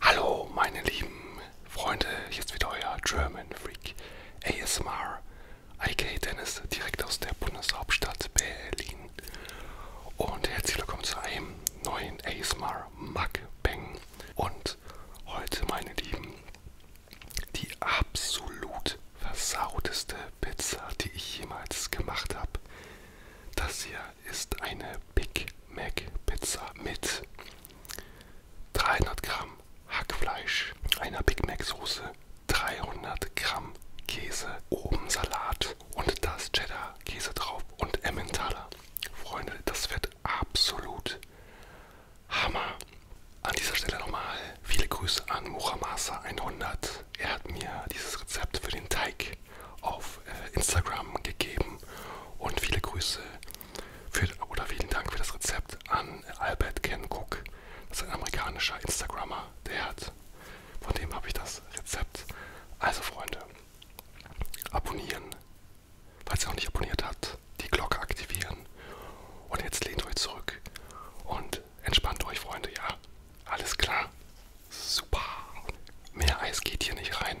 Hallo meine lieben Freunde, jetzt wieder euer German Freak ASMR, IK Dennis, direkt aus der Bundeshauptstadt Berlin. Und herzlich willkommen zu einem neuen ASMR Mukbang. Und heute meine Lieben, die absolut versauteste Pizza, die ich jemals gemacht habe. Das hier ist eine Big Mac Pizza mit 300 Gramm Hackfleisch, einer Big Mac Soße, 300 Gramm Käse, oben Salat und da ist Cheddar Käse drauf und Emmentaler. Freunde, das wird absolut Hammer. An dieser Stelle nochmal viele Grüße an Muramasa 100. Er hat mir dieses Rezept für den Teig auf auf äh, Instagram gegeben. Und viele Grüße für, oder vielen Dank für das Rezept an Albert Ken Cook. Das ist ein amerikanischer Instagrammer, der hat. Von dem habe ich das Rezept. Also Freunde, abonnieren. Falls ihr noch nicht abonniert habt, die Glocke aktivieren. Und jetzt lehnt euch zurück und entspannt euch, Freunde. Ja, alles klar. Super. Mehr Eis geht hier nicht rein.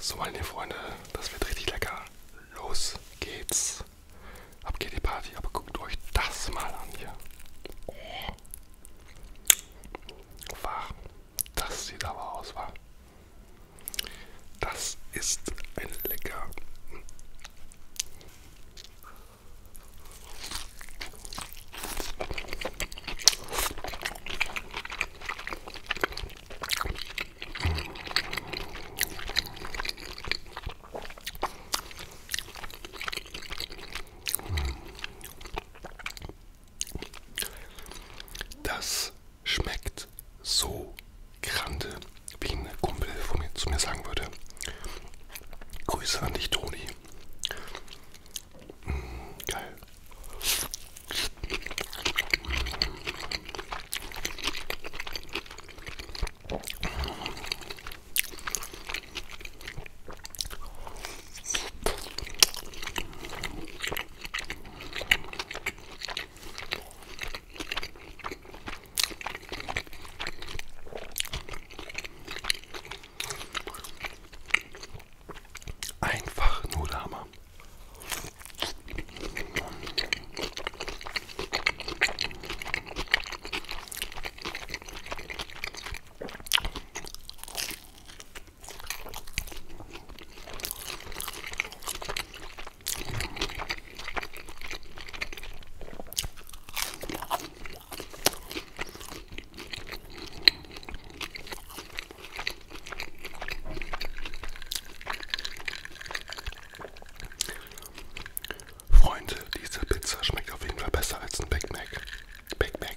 So, meine Freunde, das wird richtig lecker. Los geht's. Ab geht die Party, aber guckt euch das mal an hier. Oh. Wah, das sieht aber aus, war. Das ist ein lecker. Das schmeckt so grande, wie ein Kumpel von mir, zu mir sagen würde. Grüße an dich, Toni. Mmh, geil. Einfach nur der Hammer. Freunde, diese Pizza schmeckt auf jeden Fall besser als ein Big Mac. Big Mac.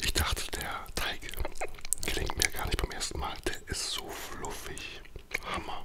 Ich dachte, der Teig gelingt mir gar nicht beim ersten Mal. Der ist so fluffig. Hammer.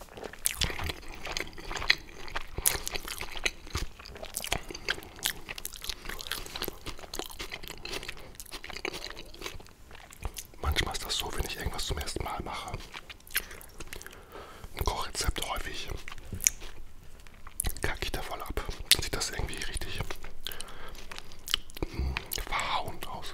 Manchmal ist das so, wenn ich irgendwas zum ersten Mal mache. Ein Kochrezept häufig. Kacke ich da voll ab. Sieht das irgendwie richtig mh, hm, verhauen aus.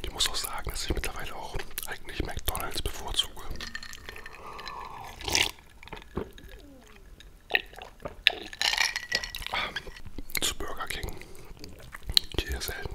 Ich muss auch sagen, dass ich mittlerweile auch eigentlich McDonalds bevorzuge. Ähm, zu Burger King. Ich gehe selten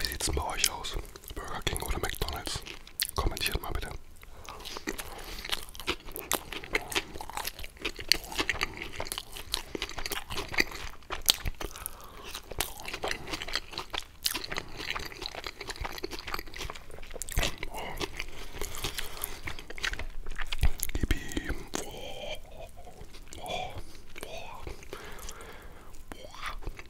Wie sieht es bei euch aus? Burger King oder McDonalds? Kommentiert mal bitte.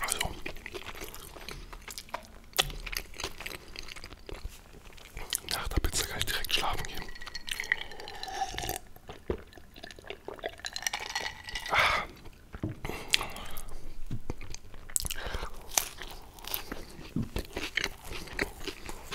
Also, nach der Pizza kann ich direkt schlafen gehen. Ah.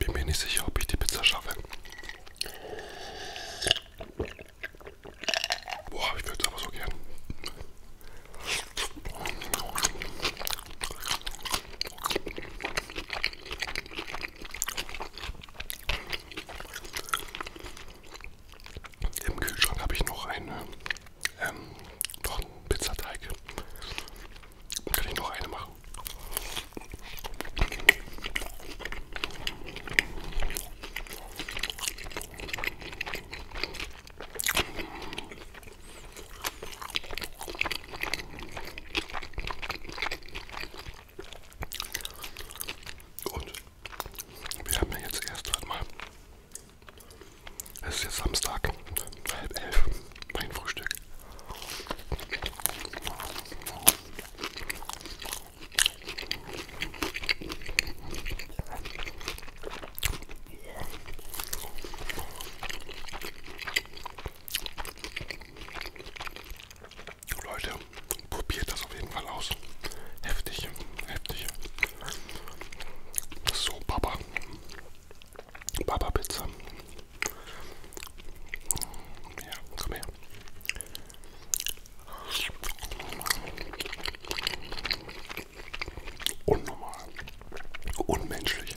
Bin mir nicht sicher, ob ich die Pizza schaffe. Boah, ich würde es aber so gern. Im Kühlschrank habe ich noch eine, ähm, noch einen Pizzateig. Kann ich noch eine machen? Und wir haben ja jetzt erst, warte mal, es ist jetzt Samstag, halb elf, mein Frühstück. Leute, probiert das auf jeden Fall aus. Heftig, heftig. So, Baba. Baba Pizza. Ja, komm her. Unnormal. Unmenschlich.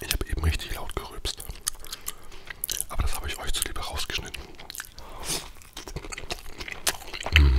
Ich habe eben richtig laut gerübst. Aber das habe ich euch zuliebe rausgeschnitten. Mm.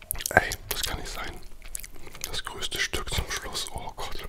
Ey, das kann nicht sein. Das größte Stück zum Schluss. Oh Gott.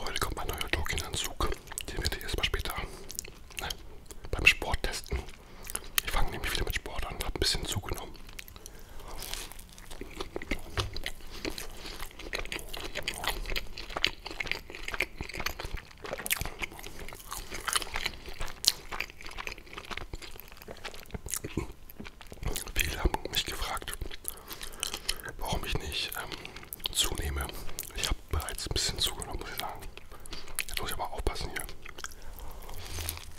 Heute kommt mein neuer Doki-Anzug. Den werde ich erstmal später ne, beim Sport testen. Ich fange nämlich wieder mit Sport an, habe ein bisschen zugenommen. Viele haben mich gefragt, warum ich nicht ähm, zunehme. Ich habe bereits ein bisschen zugenommen, muss ich sagen. Jetzt muss ich aber aufpassen hier.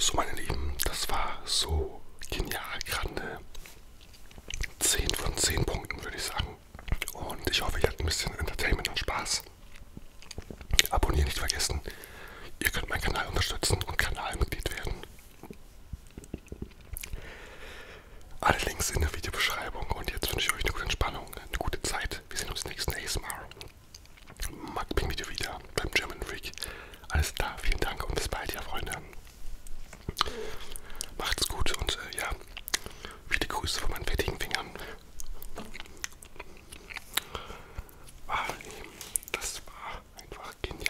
So, meine Lieben, das war so genial. Gerade 10 von 10 Punkten, würde ich sagen. Und ich hoffe, ihr hattet ein bisschen Entertainment und Spaß. Abonnieren nicht vergessen. Ihr könnt meinen Kanal unterstützen und Kanalmitglied werden. Alle Links in der Videobeschreibung. Und jetzt wünsche ich euch eine gute Entspannung, eine gute Zeit. Wir sehen uns nächsten ASMR. Magbing-Video wieder beim German Freak. Alles klar, vielen Dank und bis bald, ja Freunde. Macht's gut und äh, ja, viele Grüße von meinen fettigen Fingern wahrnehmen. Das war einfach genial.